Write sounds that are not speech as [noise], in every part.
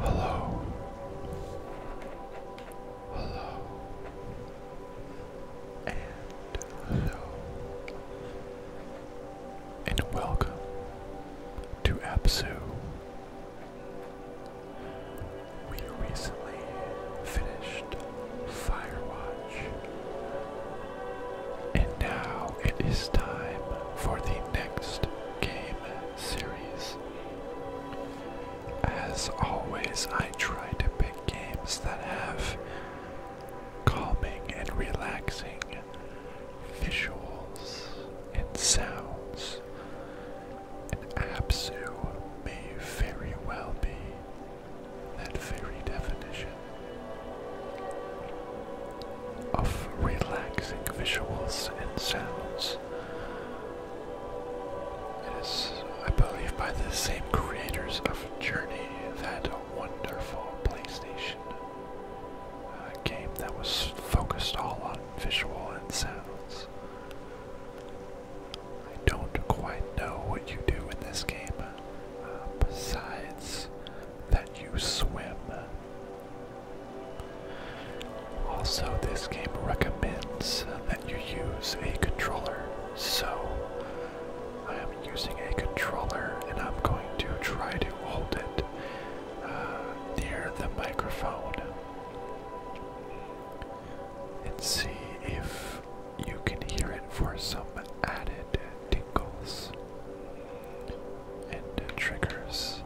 Hello. Hello. And hello. And welcome to Absu we recently finished Firewatch, and now it is time for the next game series. As always, I try to pick games that have calming and relaxing visuals, and sounds. and Absu may very well be that very definition of relaxing visuals and sounds. It is, I believe, by the same creators of Journey, that wonderful PlayStation uh, game that was focused all on visual and sounds. I don't quite know what you do in this game, uh, besides that you swim. Also, this game recommends that you use a controller, so I am using a controller and I'm going to try to hold it uh, near the microphone and see if you can hear it for some added tingles and triggers.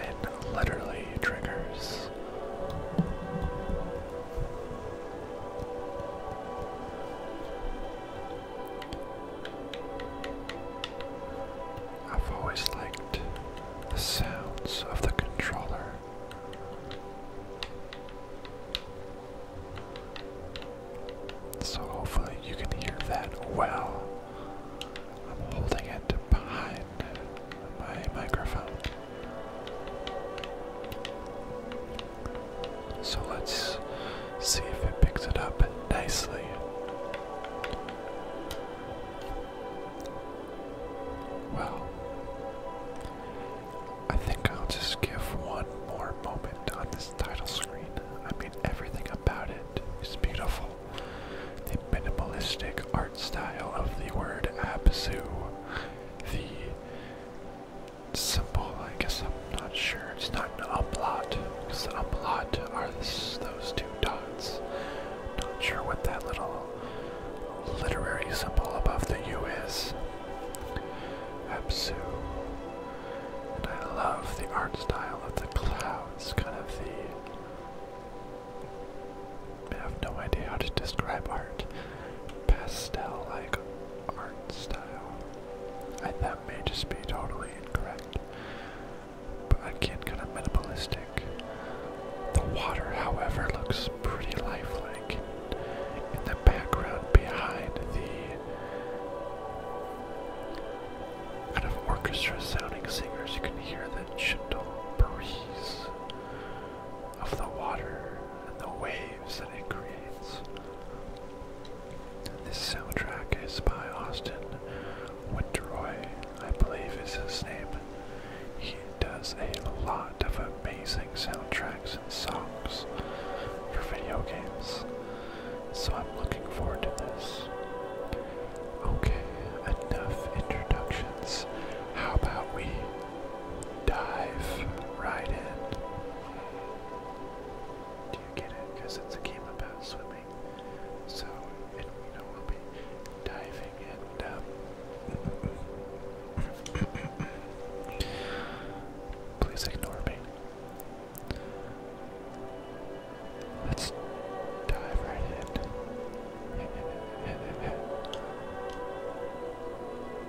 And literally triggers. I've always liked the sounds of the controller. So hopefully you can hear that well. I'm holding it behind my microphone. So let's see if it picks it up nicely. Well, I think I'll just give one more moment on this title screen. I mean, everything about it is beautiful. The minimalistic art style of the word Abzu, the Simple. I guess I'm not sure. It's not an umlaut, because the umlaut are those two dots. Not sure what that little literary symbol above the U is. Absu. And I love the art style of the clouds, kind of the. I have no idea how to describe art pastel like art style. And that may just be totally incorrect. But again, kind of minimalistic. The water, however, looks pretty lifelike in the background behind the kind of orchestra sounding singers. You can hear the gentle breeze of the water and the waves that it creates. This soundtrack is by Austin Winteroy, I believe is his name. He does a lot of amazing soundtracks and songs for video games. So I'm looking forward to this. Okay, enough introductions. How about we dive right in. Do you get it? Because it's a game about swimming. So, you know, we'll be diving and um, [coughs] please ignore me. Let's dive right in. [laughs]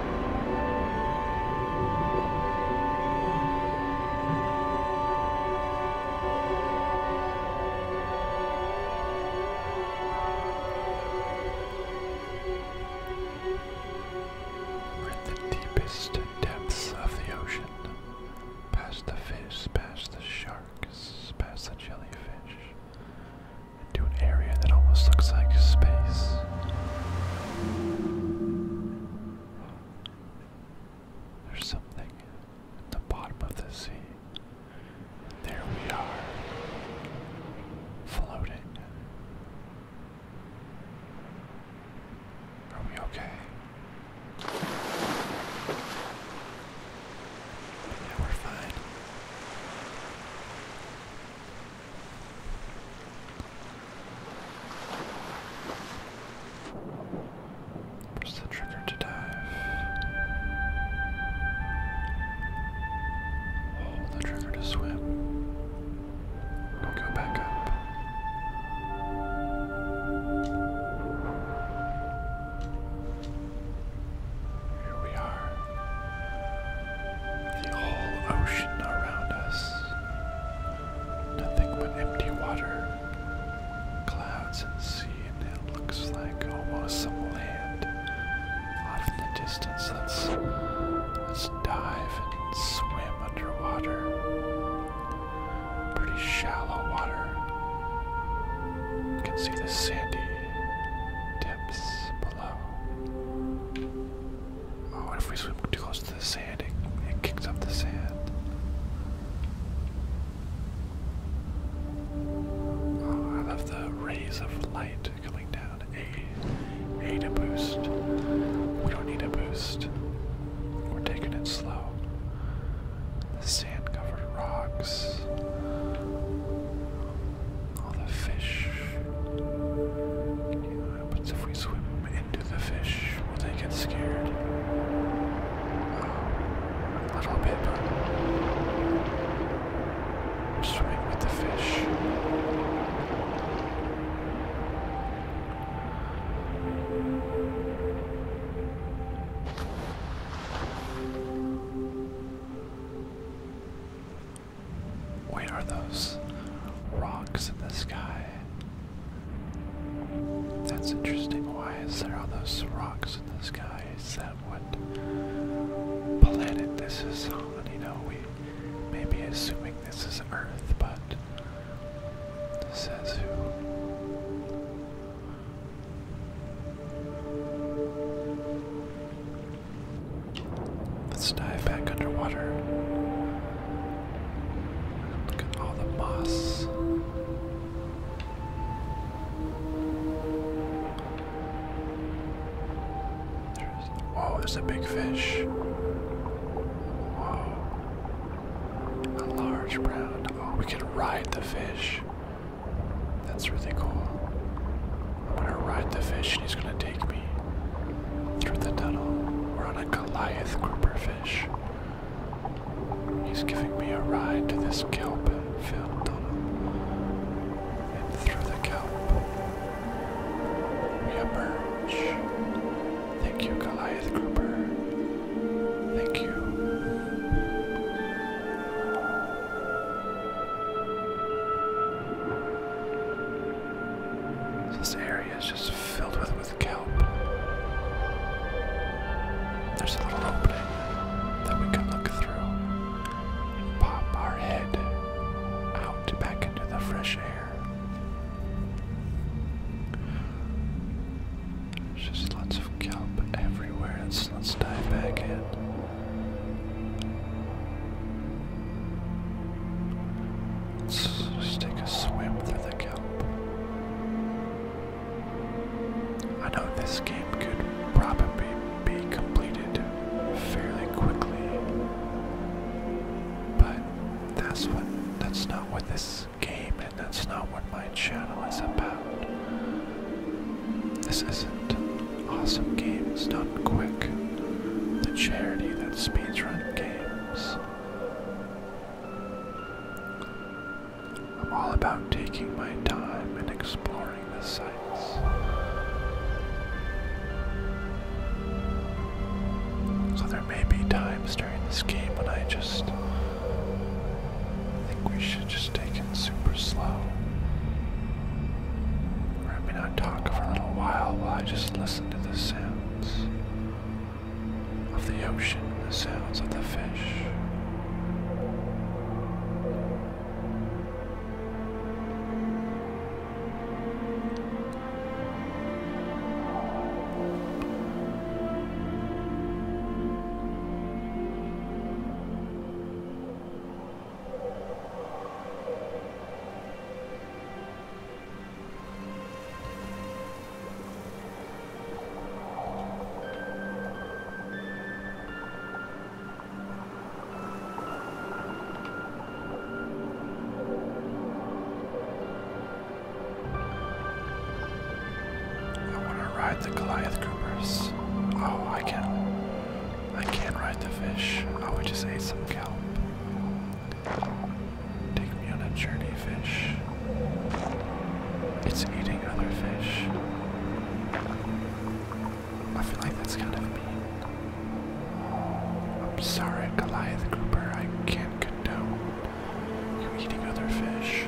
We're in the deepest depths of the ocean. Past the fish, past the sharks, past the jellyfish, into an area that almost looks like space. There's something at the bottom of the sea. There we are, floating. Are we okay? Yeah, we're fine. Press the trigger to dive. Hold the trigger to swim. go back up. Here we are. The whole ocean around us. Nothing but empty water, clouds, and sea, and it looks like almost some land. Off in the distance, let's let's dive and swim underwater. Pretty shallow water. You can see the sandy tips below. Oh, what if we swim too close to the sand? It, kicks up the sand. Oh, I love the rays of light coming down. A, A boost. We don't need a boost. We're taking it slow. The sand covered rocks all the fish. You happens if we swim into the fish? Will they get scared? a little bit, swimming with the fish. Wait, are those rocks in the sky? That's interesting. Why is there all those rocks in the sky? Is that what planet this is on? You know, we may be assuming this is Earth, but says who? Let's dive back underwater. Look at all the moss. There's, whoa, there's a big fish. Whoa. A large brown. Oh, we can ride the fish. That's really cool. I'm gonna ride the fish and he's gonna take me through the tunnel. We're on a Goliath grouper fish. He's giving me a ride to this kelp filled tunnel. And through the kelp, we emerge. Thank you, Goliath grouper. Thank you. This area is just filled with, with kelp. There's a little opening that we can look through and pop our head out back into the fresh air. There's just lots of kelp everywhere. let let's dive back in. Let's just take a swim through the kelp. I know this game could probably be completed fairly quickly, but that's what that's not what this game and that's not what my channel is about. This isn't awesome games done quick. The charity that speeds speedruns games. I'm all about taking my time and exploring the sights. So there may be times during this game when I just think we should just take it super slow. Or I not talk for a little while while I just listen to this sounds of the ocean, the sounds of the fish. I want to ride the Goliath Groupers. Oh, I can't. I can't ride the fish. Oh, we just ate some kelp. Take me on a journey, fish. It's eating other fish. I feel like that's kind of mean. I'm sorry, Goliath Cooper, I can't condone you eating other fish.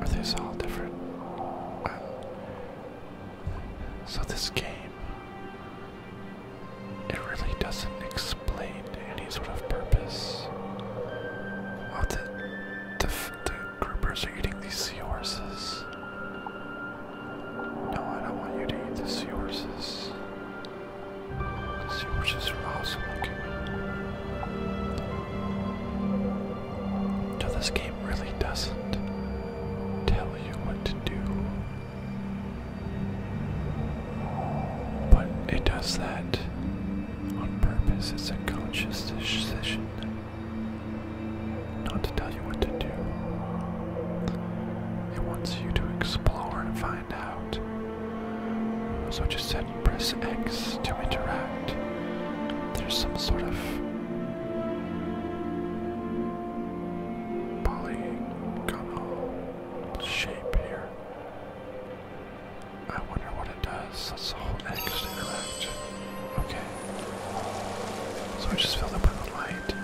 Are these all different? so this game, it really doesn't explain any sort of purpose. Oh, the, the, the groupers are eating these seahorses. No, I don't want you to eat the seahorses. The seahorses are awesome looking. So this game really doesn't tell you what to do. But it does that on purpose. It's a conscious decision not to tell you what to do. It wants you to explore and find out. So just said press X to interact. There's some sort of polygonal shape here. I wonder what it does. Let's hold X to interact. Okay. So I just filled up with light.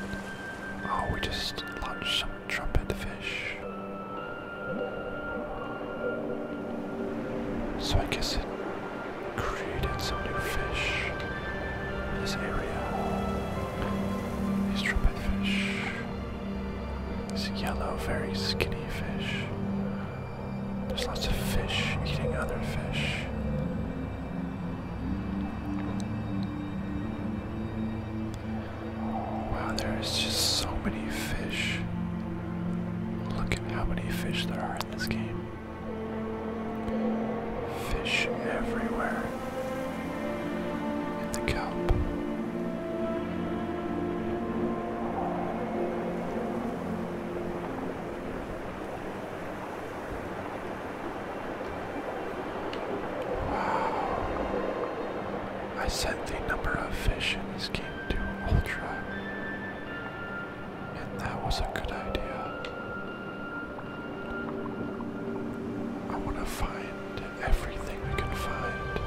Oh, we just launched some trumpet fish. So I guess it created some new fish this area. These trumpet fish. This yellow, very skinny fish. There's lots of fish eating other fish. Wow, there's just so many fish. Look at how many fish there are in this game. Fish everywhere in the kelp. Wow. I said the number of fish in this game into Ultra. And that was a good idea. I want to find everything I can find.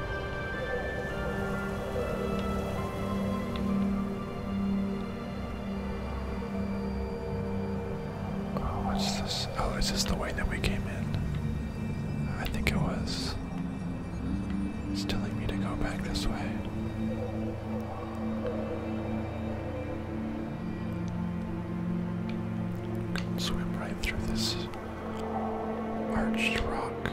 Oh, what's this? Oh, is this the way that we came in? I think it was. It's telling me to go back this way. swim right through this arched rock.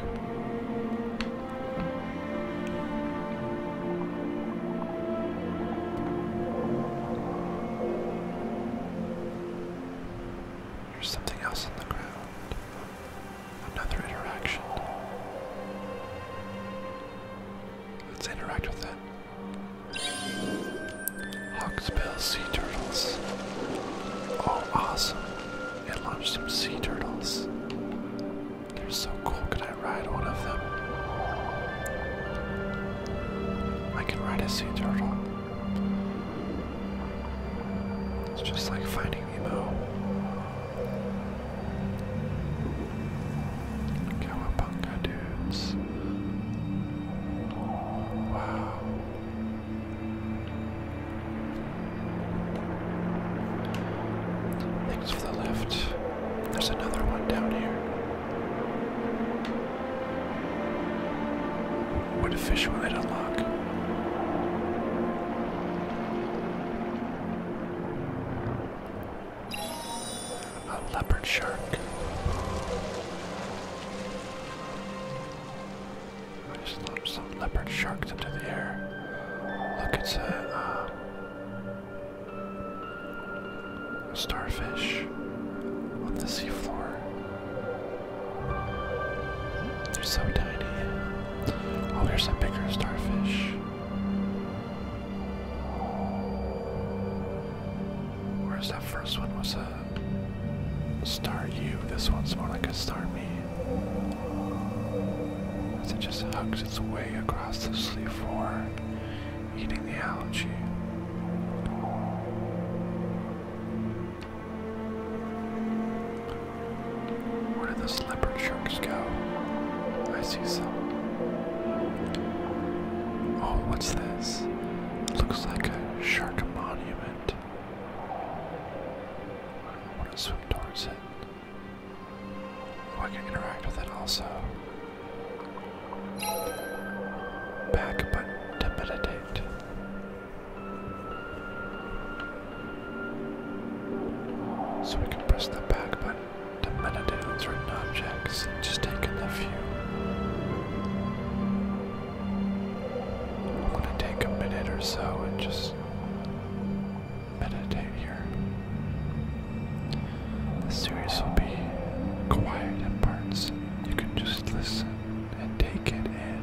There's something else on the ground. Another interaction. Let's interact with it. Hawksbill sea turtles. Oh, awesome. It launched some sea turtles. They're so cool. Could I ride one of them? I can ride a sea turtle. It's just like finding Nemo. Cowabunga dudes. Wow. Thanks for the lift. There's another one down here. What a fish will it unlock? A leopard shark. I just launched some leopard sharks into the air. Look, it's um, a, starfish on the seafloor. They're so tiny. Oh, here's a bigger starfish. Where's that first one was a star you? this one's more like a star me. As it just hugs its way across the sleeve for eating the algae. Where did those leopard sharks go? I see some. Oh, what's this? It looks like a shark monument. I want to swim towards it. Oh, I can interact with it also. Back button to meditate. So we can press the back button to meditate on certain objects, just taking the view. I'm gonna take a minute or so and just meditate here. The series will be quiet in parts. You can just listen and take it in.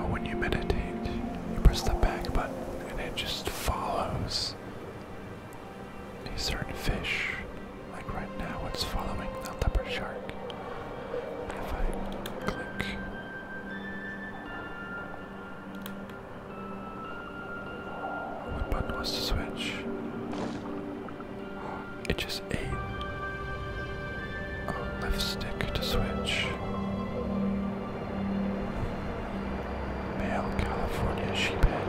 Well, when you meditate, you press the back button and it just follows a certain fish. Like right now, it's following the leopard shark. If I click. What button was the switch? It just ate. left stick to switch male California sheephead.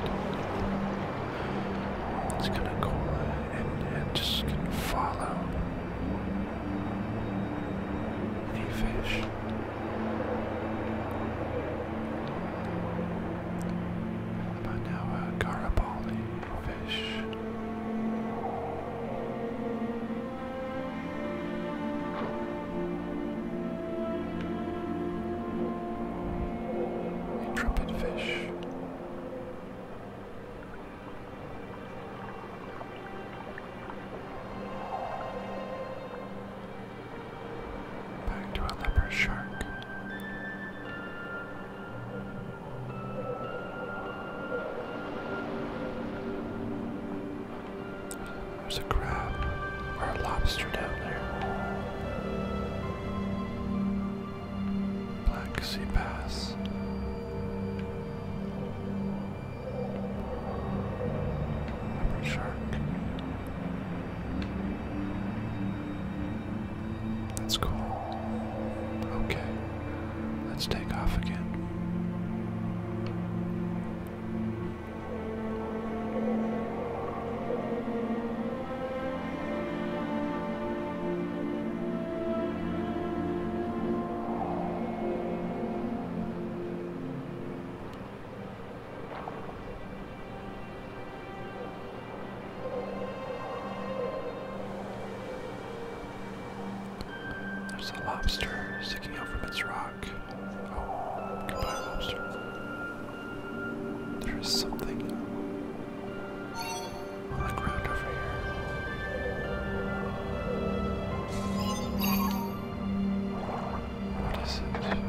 It's gonna go and, just follow the fish. But now a uh, Garibaldi fish. Intrepid fish. Back to a leopard shark. There's a crab or a lobster down there. Black Sea Pass. Upper Shark. That's cool. Okay, let's take off again. There's a lobster sticking out from its rock. Oh, goodbye, lobster. There is something on the ground over here. What is it?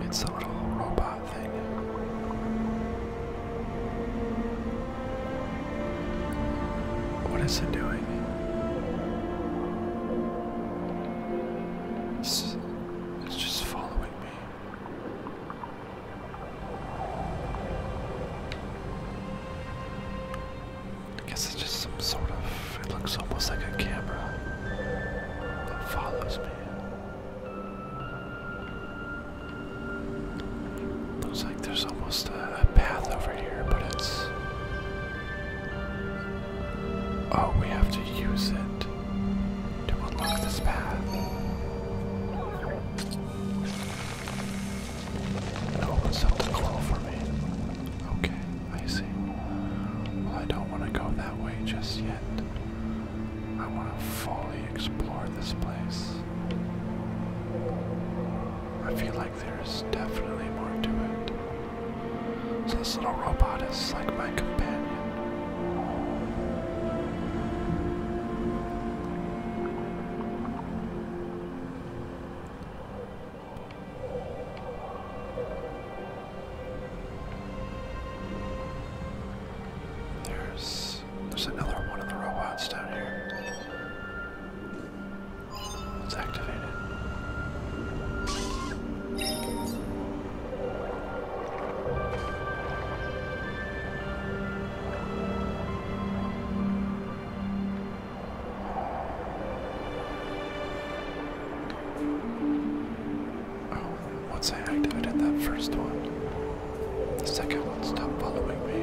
It's a little robot thing. What is it doing? It's, just following me. I guess it's just some sort of. It looks almost like a camera that follows me. Looks like there's almost a, path over here, but it's. Oh, we have to use it to unlock this path. It opens up the for me. Okay. I see. Well, I don't want to go that way just yet. I want to fully explore this place. I feel like there's definitely more to it. So this little robot is like my companion. There's there's another one of the robots down here. Let's Oh, I did activated that first one, the second one stopped following me.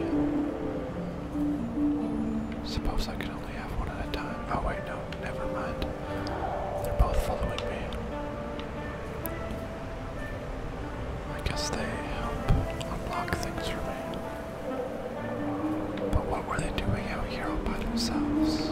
Suppose I can only have one at a time. Oh, wait, no, never mind. They're both following me. I guess they help unlock things for me. But what were they doing out here all by themselves?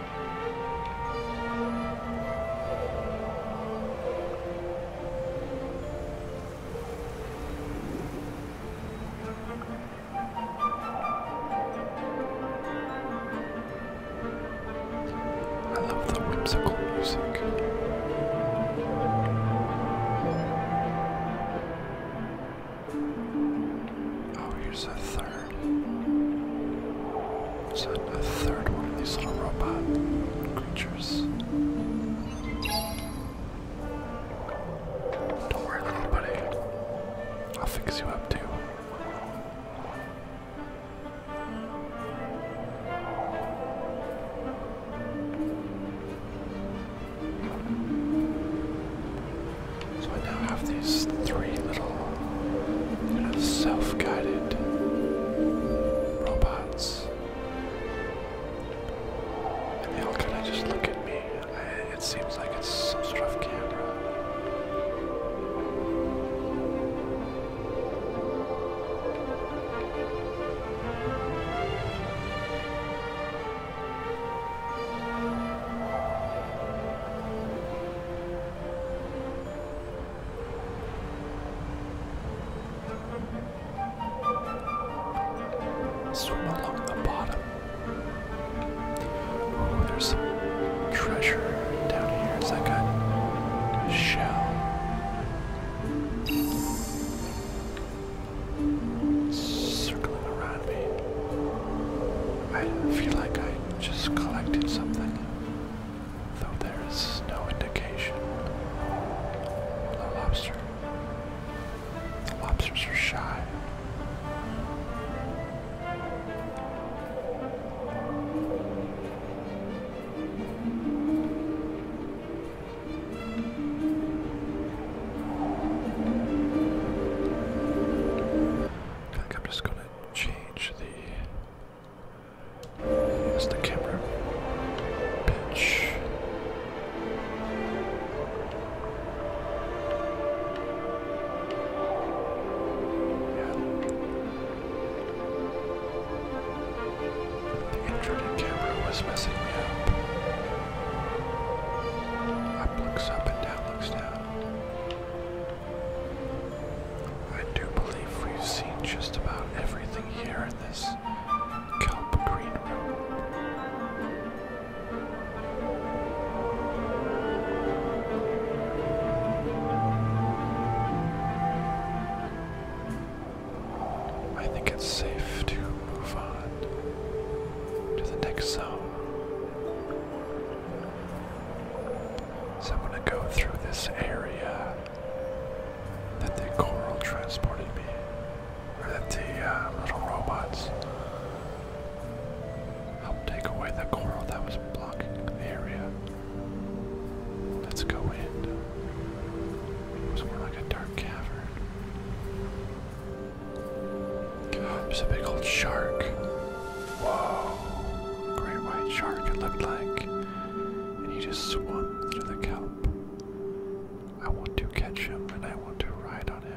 I love the whimsical music. Oh, here's a third. Is that a, a third one of these little robot creatures. Don't worry, little buddy. I'll fix you up too. So I now have these three little self-guided robots. And they all kind of just look at me. it seems like it's some sort of camera. Swim along the bottom. Oh, there's some treasure down here. Is that good? Shell. Circling around me. I feel like I just collected something though there is no indication. Hello, lobster. The lobsters are shy. I think I'm just gonna change the use the camera pitch. The inverted camera was messing me up. Up looks up and down looks down. I do believe we've seen just about everything here in this kelp green room. I think it's safe to move on to the next zone. So I'm gonna go through this area that the coral transported me, or that the uh, little robots help take away the coral that was blocking the area. Let's go in. It was more like a dark cavern. God, there's a big old shark. Wow. Great white shark, it looked like. And he just swam through the kelp. I want to catch him and I want to ride on him.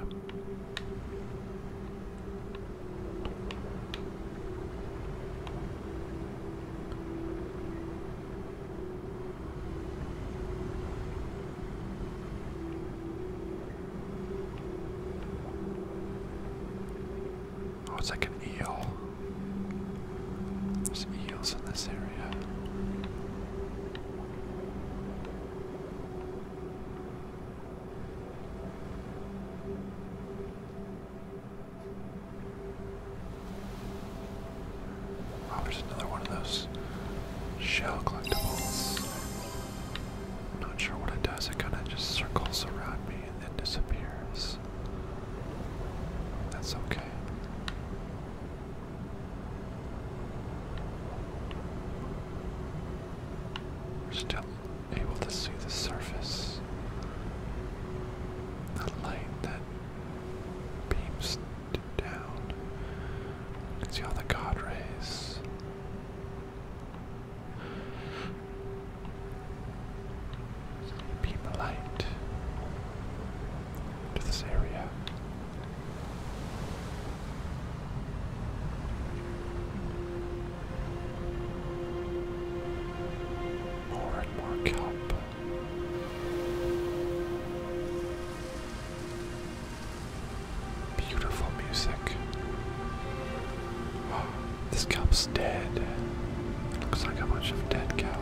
Oh, it's like an eel. There's eels in this area. Oh, there's another one of those shell collectibles. I'm not sure what it does, it kind of just circles around me and then disappears. That's okay. We're still able to see the surface. The light that beams down. You see all the god rays Beam a light to this area. More and more kelp. Beautiful music. [gasps] This cow's dead. It looks like a bunch of dead cow.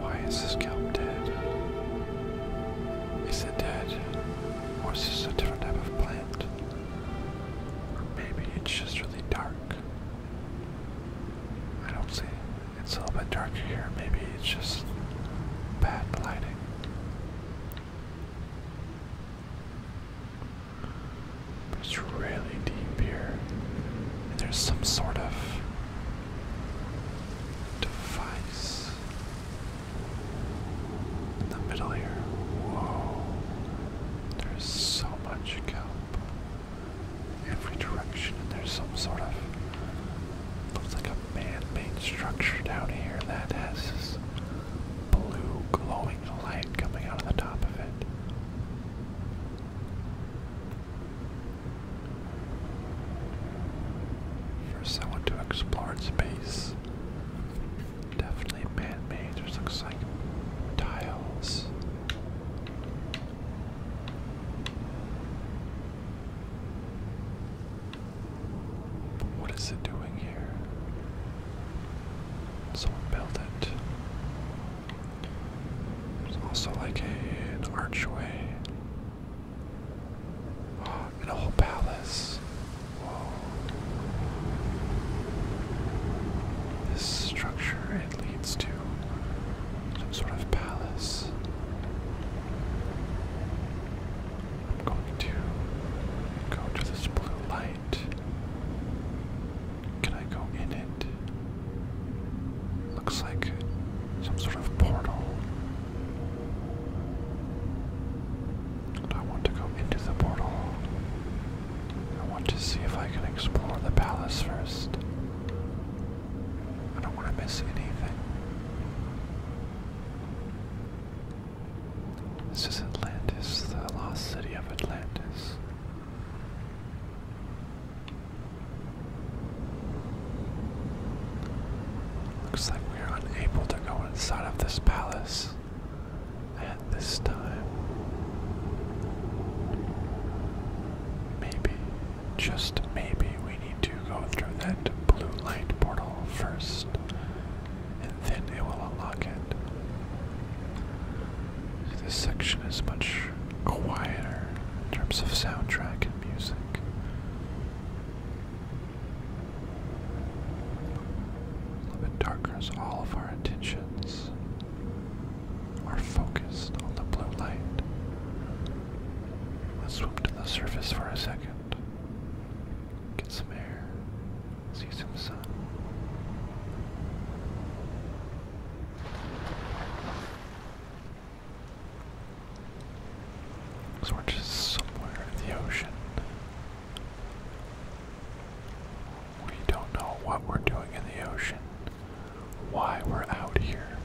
Why is this cow dead? Is it dead? Or is this a different type of plant? Or maybe it's just really dark. I don't see. It's a little bit darker here. Maybe it's just bad lighting. It's really deep here. And there's some sort of device in the middle here. Whoa. There's so much kelp. Every direction, and there's some sort of looks like a man-made structure down here that has blue glowing light coming out of the top of it. For someone to explore space, definitely man-made. There's looks like tiles. What is it doing here? Someone built it. There's also like an archway. Oh, and a whole palace. This structure, it leads to some sort of palace. I'm going to go to this blue light. Can I go in it? Looks like some sort of portal. I want to go into the portal. I want to see if I can explore the palace first. I don't want to miss anything. This is Atlantis, the lost city of Atlantis. Looks like we are unable to go inside of this palace at this time. Maybe, just maybe, we need to go through that blue light portal first and then it will unlock it. This section is much quieter in terms of soundtrack and music. A little bit darker as all of our attentions are focused on the blue light. Let's swim to the surface for a second. Get some air. See some sun. So we're just somewhere in the ocean. We don't know what we're doing in the ocean, why we're out here.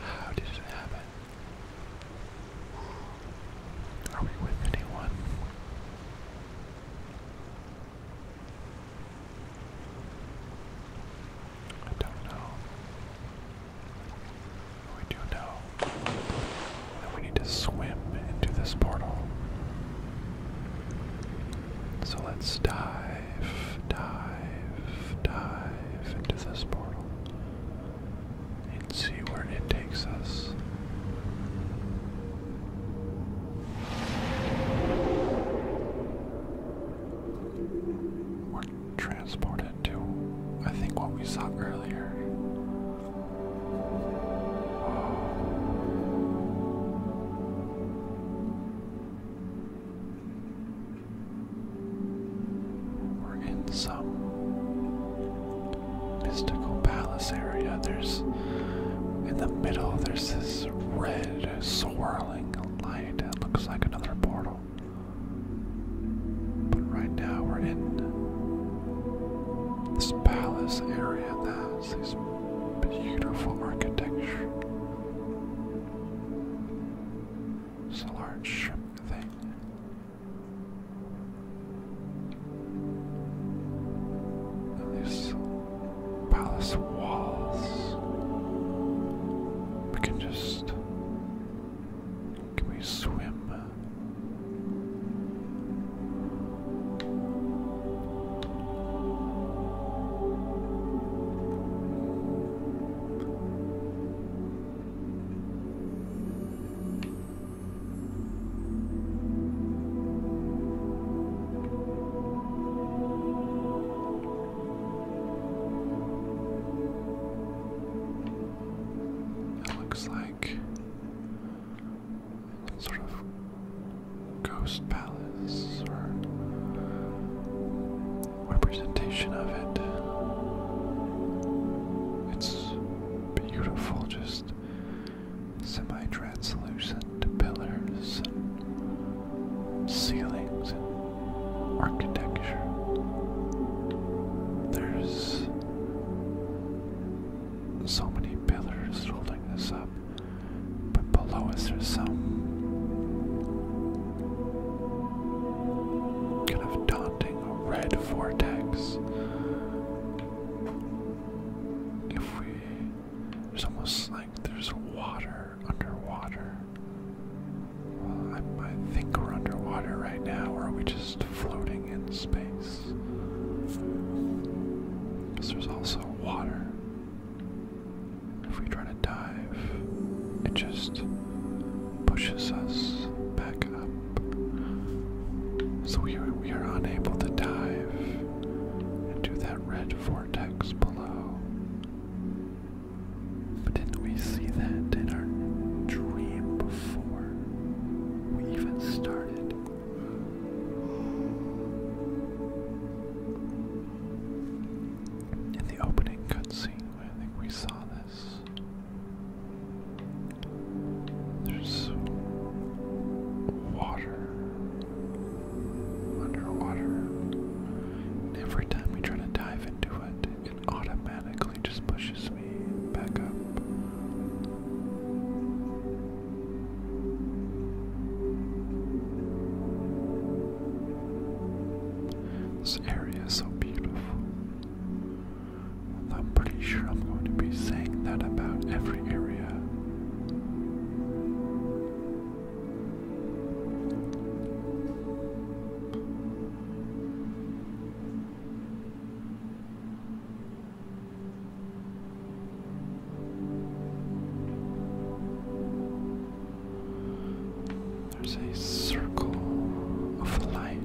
How did it happen? Are we with anyone? I don't know. We do know that we need to swim into this portal. So let's dive, dive, dive into this portal and see where it takes us. We're transported to, I think, what we saw earlier. We're in some mystical palace area, there's in the middle there's this red swirling light that looks like another portal. But right now we're in this palace area That's this beautiful architecture. It's a large shrimp thing these palace walls. We can just. Can we swim? It looks like sort of ghost palace or representation of it. It's beautiful, just semi-translucent pillars and ceilings and architecture. There's so many pillars holding this up, but below us there's some kind of daunting red vortex if we there's almost like there's water underwater. I, I think we're underwater right now, are we just floating in space? Because there's also water. If we try to dive, it just pushes us back so we are, we are unable to dive into that red vortex below. But didn't we see that in our dream before we even started? In the opening cutscene, I think we saw this. There's water underwater. every time we try to dive into it, it automatically just pushes me back up. This area is so beautiful. I'm pretty sure I'm going to be saying that about every area. There's a circle of light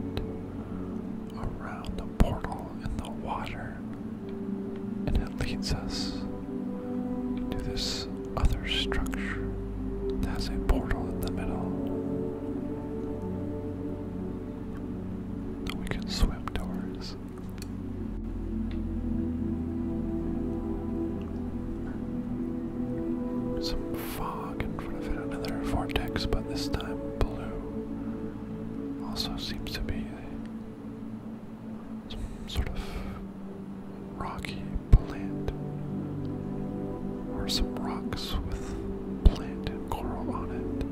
around portal in the water, and it leads us to this other structure that has a portal in the middle we can swim towards. Some fog in front of it, another vortex, but this time blue. Also seems to be some sort of rocky plant or some rocks with plant and coral on it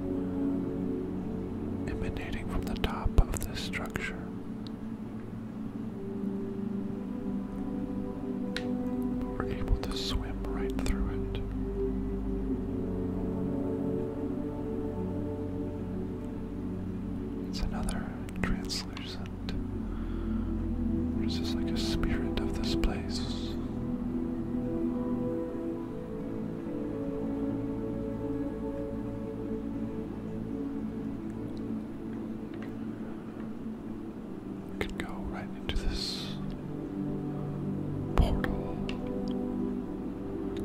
emanating from the top of this structure. We're able to swim right through it. It's another translucent. Or is like a spirit of this place? We could go right into this portal.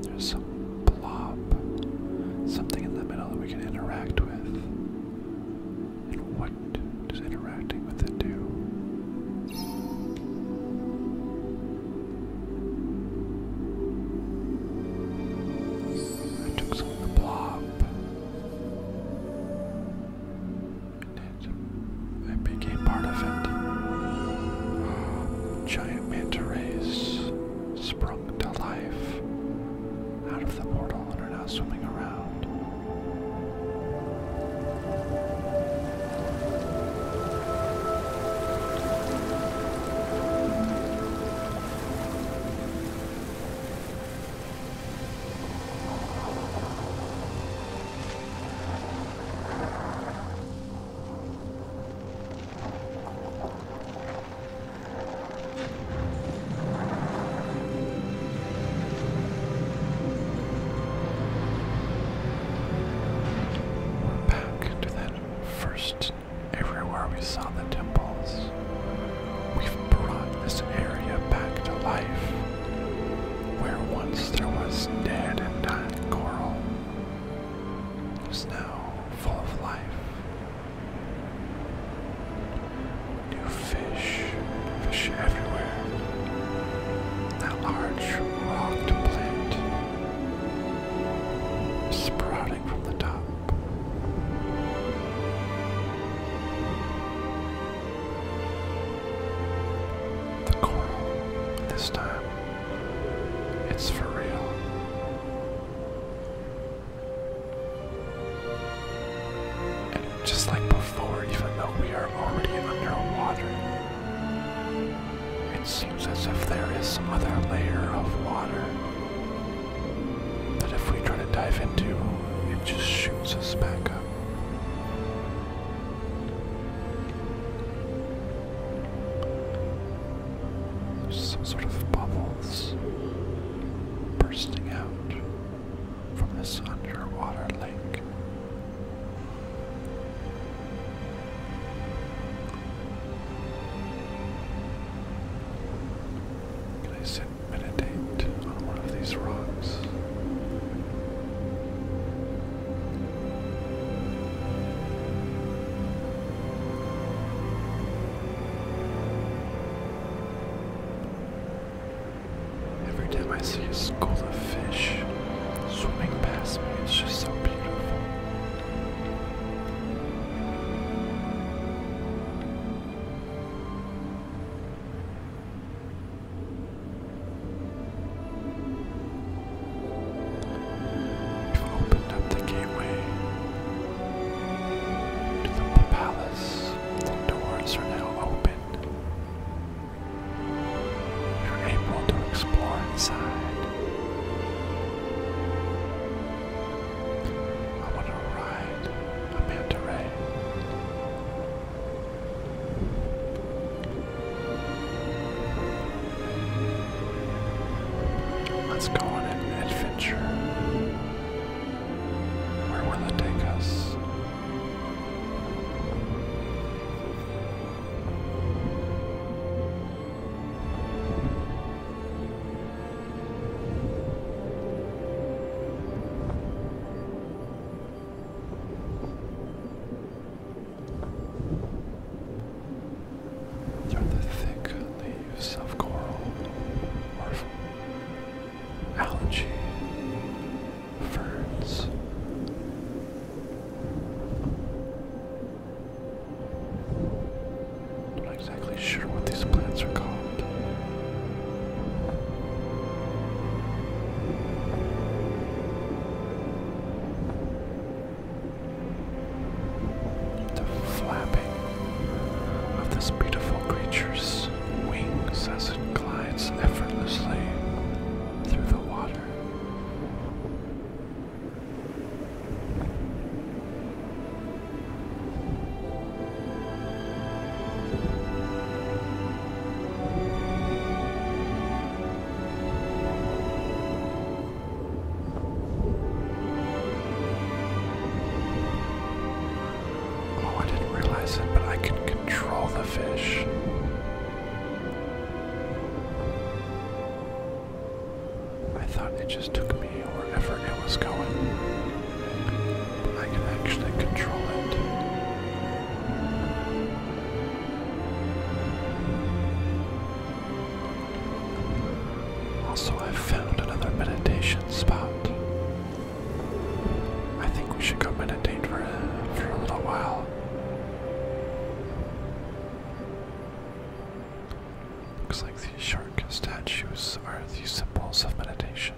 There's some blob, something in the middle that we can interact with. And what does interacting with it do? I took some of the blob. And it I became part of it. Giant manta rays sprung to life out of the portal and are now swimming around. We're back to that first everywhere we saw the temples. We've brought this area back to life, where once there was dead and dying coral is now full of life. New fish, fish everywhere. That large rock plant sprouting from the top. The coral, this time it's for real. And just like before, even though we are already underwater, it seems as if there is some other layer of water that if we try to dive into, it just shoots us back up. There's some sort of bubbles bursting out from this underwater lake. Can I sit meditate on one of these rocks? Every time I see a school of fish swimming past me, it's just so beautiful. We've opened up the gateway to the palace. The doors are now open. You're able to explore inside. I want to ride a manta Let's go on an adventure. Where will it take us? they the thick leaves of coral, or algae, ferns. I'm not exactly sure what these plants are called. The flapping of this beautiful creature's wings as it glides effortlessly through the water. Oh, I didn't realize it, but I can control the fish. I thought it just took me wherever it was going. I can actually control it. Also, i found another meditation spot. I think we should go meditate for for a little while. Looks like these shark statues are the symbols of meditation.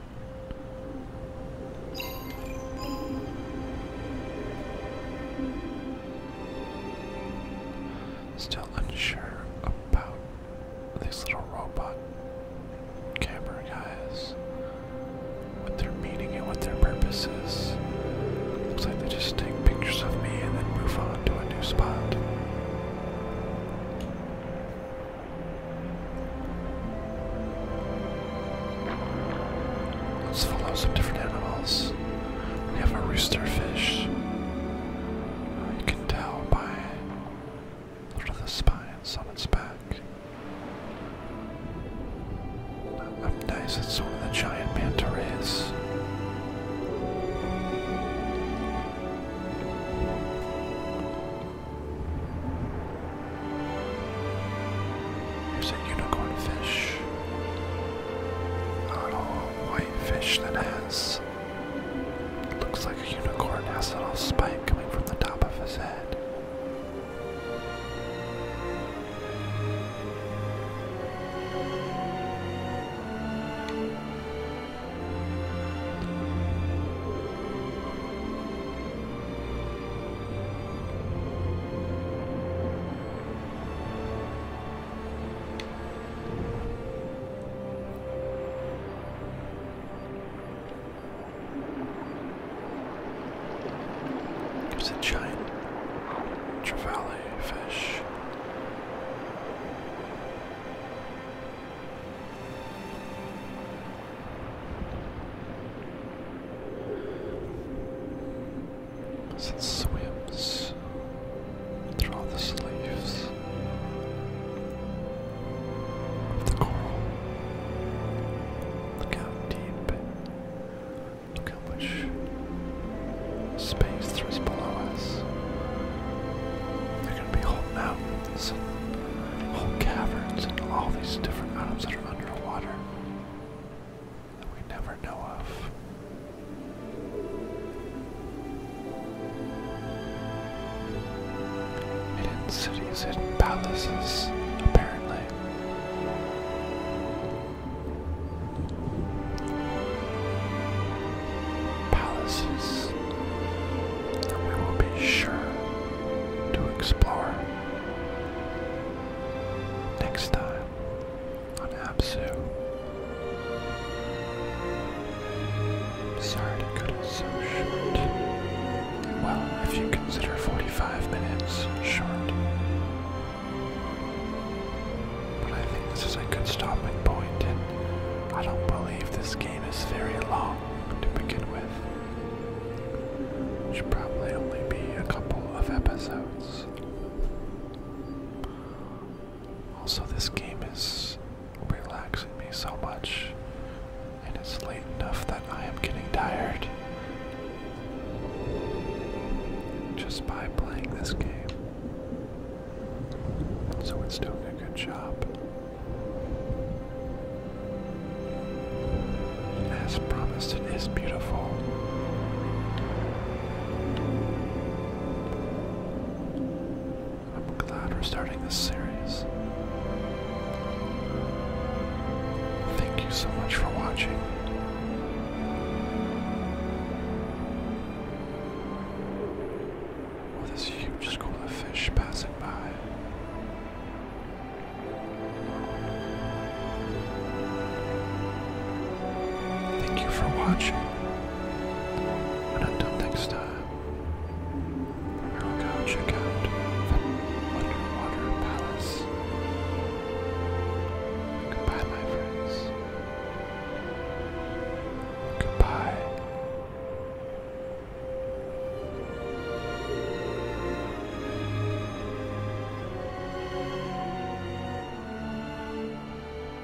Still unsure about these little robot camera guys. What their meaning and what their purpose is. Looks like they just take pictures of me and then move on to a new spot. Let's follow some different animals. We have a rooster fish. you can tell by the spines on its back. Uh, up nice, it's one of the giant manta rays. There's a unicorn fish. A little white fish that has. Looks like a unicorn, has a little spike coming from the top of his head. There's a giant trevally fish. It swims through the sleeves of the coral. Look how deep, look how much space there is below us. There can be whole mountains and whole caverns and all these different items that are underwater that we never know of. Hidden cities, hidden palaces, apparently. Palaces that we will be sure to explore next time on Absu. Sorry to cut so short. Well, if you consider 45 minutes short. But I think this is a good stopping point, and I don't believe this game is very long to begin with. Should probably only be a couple of episodes. Also, this game is relaxing me so much, and it's late enough that I am getting tired just by playing this game. So, it's doing a good job. As promised, it is beautiful. I'm glad we're starting this series. Thank you so much for watching. With this huge school of fish passing by. Thank you for watching. And until next time, we'll go check out the Underwater Palace. Goodbye, my friends. Goodbye.